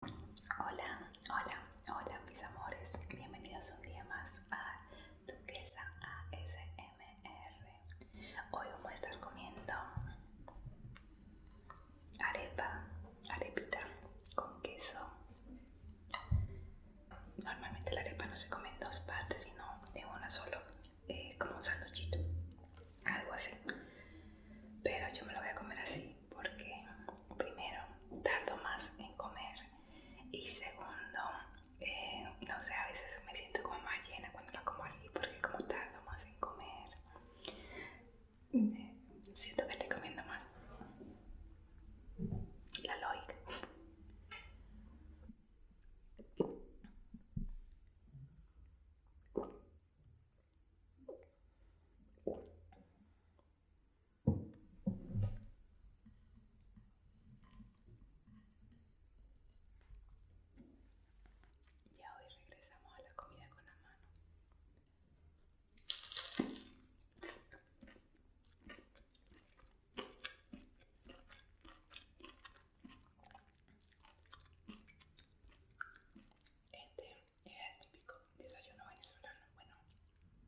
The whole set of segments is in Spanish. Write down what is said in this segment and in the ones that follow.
Hola, hola, hola mis amores, bienvenidos un día más a Duquesa ASMR. Hoy vamos a estar comiendo arepa, arepita con queso. Normalmente la arepa no se come en dos partes, sino en una solo, eh, como un sándwichito, algo así. Pero yo me lo voy a comer así porque primero tardo más en comer y segundo eh, no sé a veces me siento como más llena cuando la como así porque como tardo más en comer eh, siento que estoy comiendo más la lógica ya hoy regresamos a la comida con la mano. Este es el típico desayuno venezolano, bueno,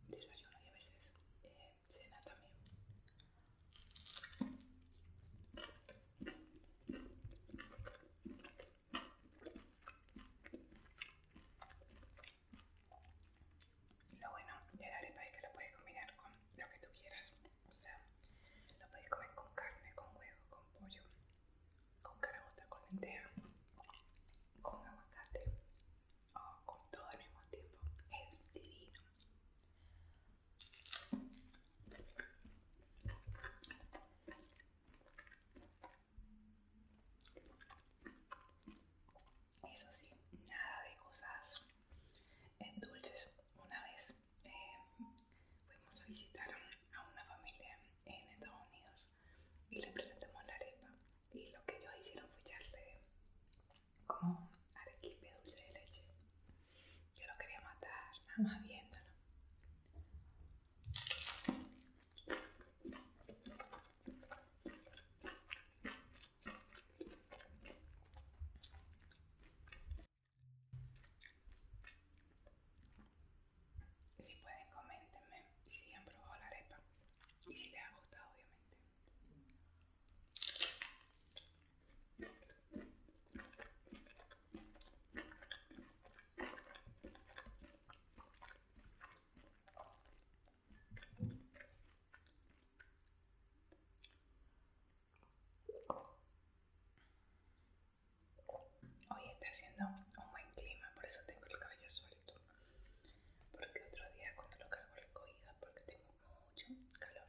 desayuno y a veces eh, cena también. Lo bueno de la arepa es que lo puedes combinar con lo que tú quieras, o sea, lo puedes comer con carne, con huevo, con pollo, con de con entero con aguacate, o con todo al mismo tiempo. Es divino. Eso sí, nada de cosas en dulces. Una vez eh, fuimos a visitar a una familia en Estados Unidos y le presentamos la arepa y lo que ellos hicieron fue echarle como arequipe dulce de leche. Yo lo quería matar, nada más viéndolo. Si pueden, comentenme si han probado la arepa y si les ha gustado, obviamente. Hoy está haciendo un buen clima, por eso tengo el cabello suelto. Porque otro día cuando lo cargo recogida, porque tengo mucho calor.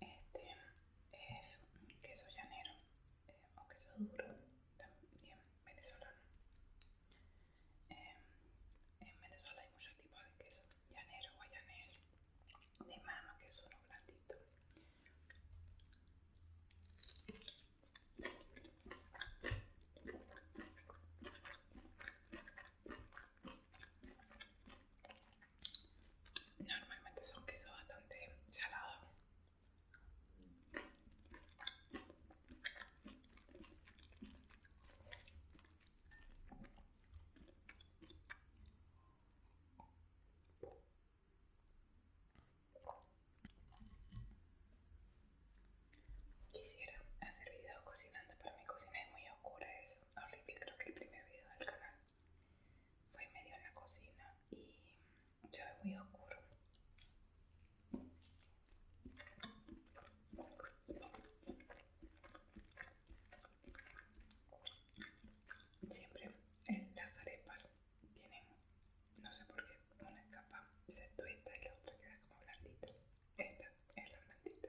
Este es queso llanero eh, o queso duro, también venezolano. Em, en Venezuela hay muchos tipos de queso llanero guayanés de mano que es un blandito Normalmente son queso bastante salado Quisiera hacer videos cocinando, pero mi cocina es muy oscura, es horrible. Creo que el primer video del canal fue medio en la cocina y se ve muy oscuro. Siempre en las arepas tienen, no sé por qué, una capa, excepto esta y la otra queda como blandita. Esta es la blandita.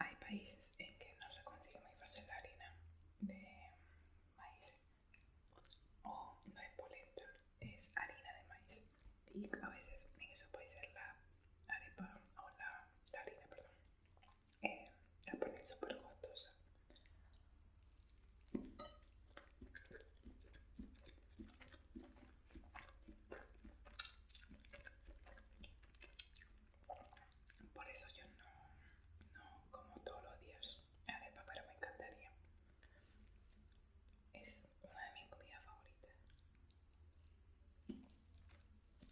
Hay países en que no se consigue muy fácil la harina de maíz o no es polenta, es harina de maíz y a veces en puede ser la arepa o la harina, perdón, eh, la ponen súper costosa por eso yo no, no como todos los días arepa pero me encantaría es una de mis comidas favoritas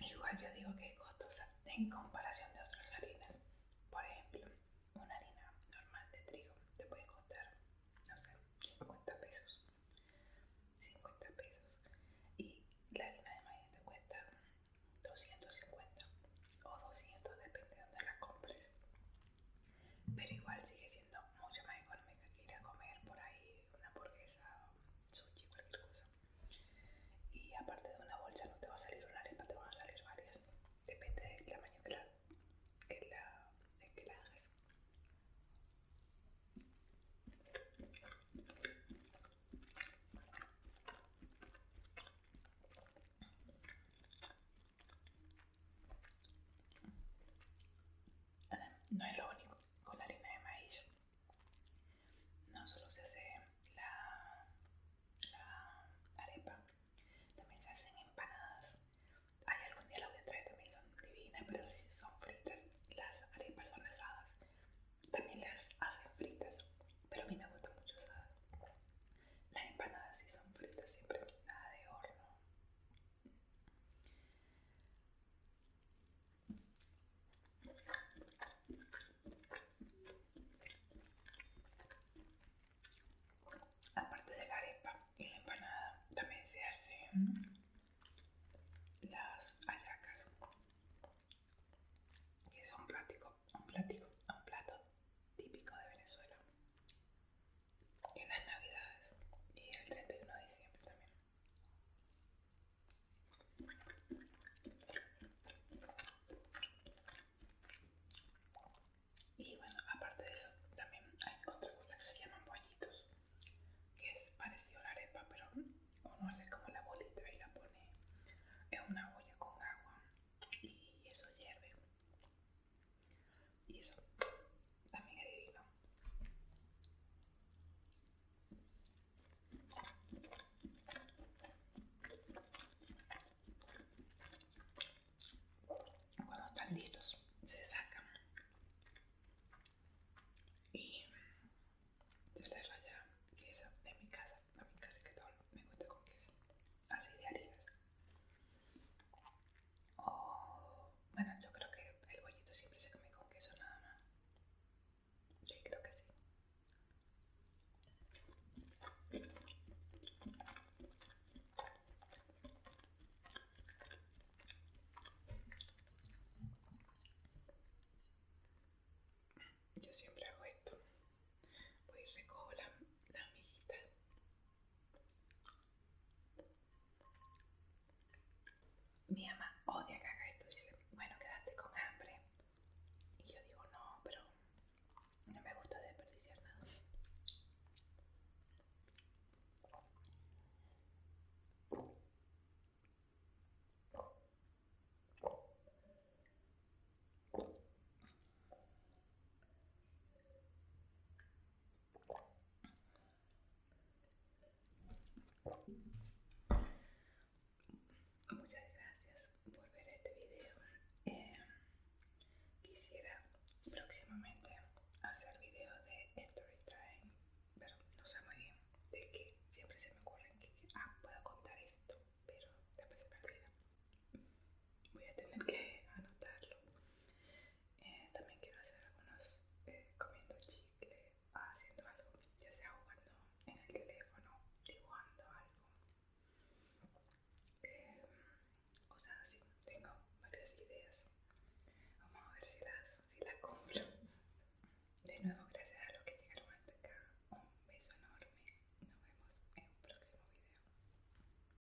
Igual yo digo que es costosa en comparación de otras harinas. Por ejemplo, una harina normal de trigo te puede costar, no sé, 50 pesos. 50 pesos. Y la harina de maíz te cuesta 250 o 200, depende de dónde la compres. Pero igual sigue siendo mucho más económica que ir a comer por ahí una hamburguesa o sushi, cualquier cosa. Y aparte de una bolsa no te va a salir una harina, te van a salir varias. Depende del tamaño que la, que que la hagas. No es lo único con la harina de maíz. No solo se hace la, arepa, también se hacen empanadas. hay algún día lo voy a también, son divinas, pero si son fritas, las arepas son asadas. También las hacen fritas, pero a mí me gusta mucho asadas. Las empanadas sí son fritas siempre, nada de horno. Aparte de la arepa y la empanada, también se hacen las hallacas, que es un un un plato típico de Venezuela en las navidades y el 31 de diciembre también. Y bueno, aparte de eso, también hay otra cosa que se llaman bollitos, que es parecido a la arepa, pero uno hace como la bolita y la pone en una olla con agua y eso hierve. Y eso también es divino. Cuando están listos, se sacan y se les raya queso de mi casa. A mi casa que todo me gusta con queso, así de harina Oh, bueno, yo creo que el bollito siempre se come con queso nada más. Sí, creo que sí. Yo siempre hago esto. Voy y recojo la, la mi mamá odia que haga esto, dice, bueno, quedaste con hambre. Y yo digo, no, pero no me gusta desperdiciar nada. Muchas gracias por ver este video. Eh, quisiera próximamente hacer video de story time, pero no sé muy bien de qué. Siempre se me ocurre que, ah, puedo contar esto, pero después se me olvida. Voy a tener que anotarlo. Eh, también quiero hacer algunos eh, comiendo chicle, ah, haciendo algo, ya sea jugando en el teléfono, dibujando algo. Eh, o sea, sí, tengo varias ideas. Vamos a ver si las, si las De nuevo, gracias a los que llegaron hasta acá. Un beso enorme. Nos vemos en un próximo video.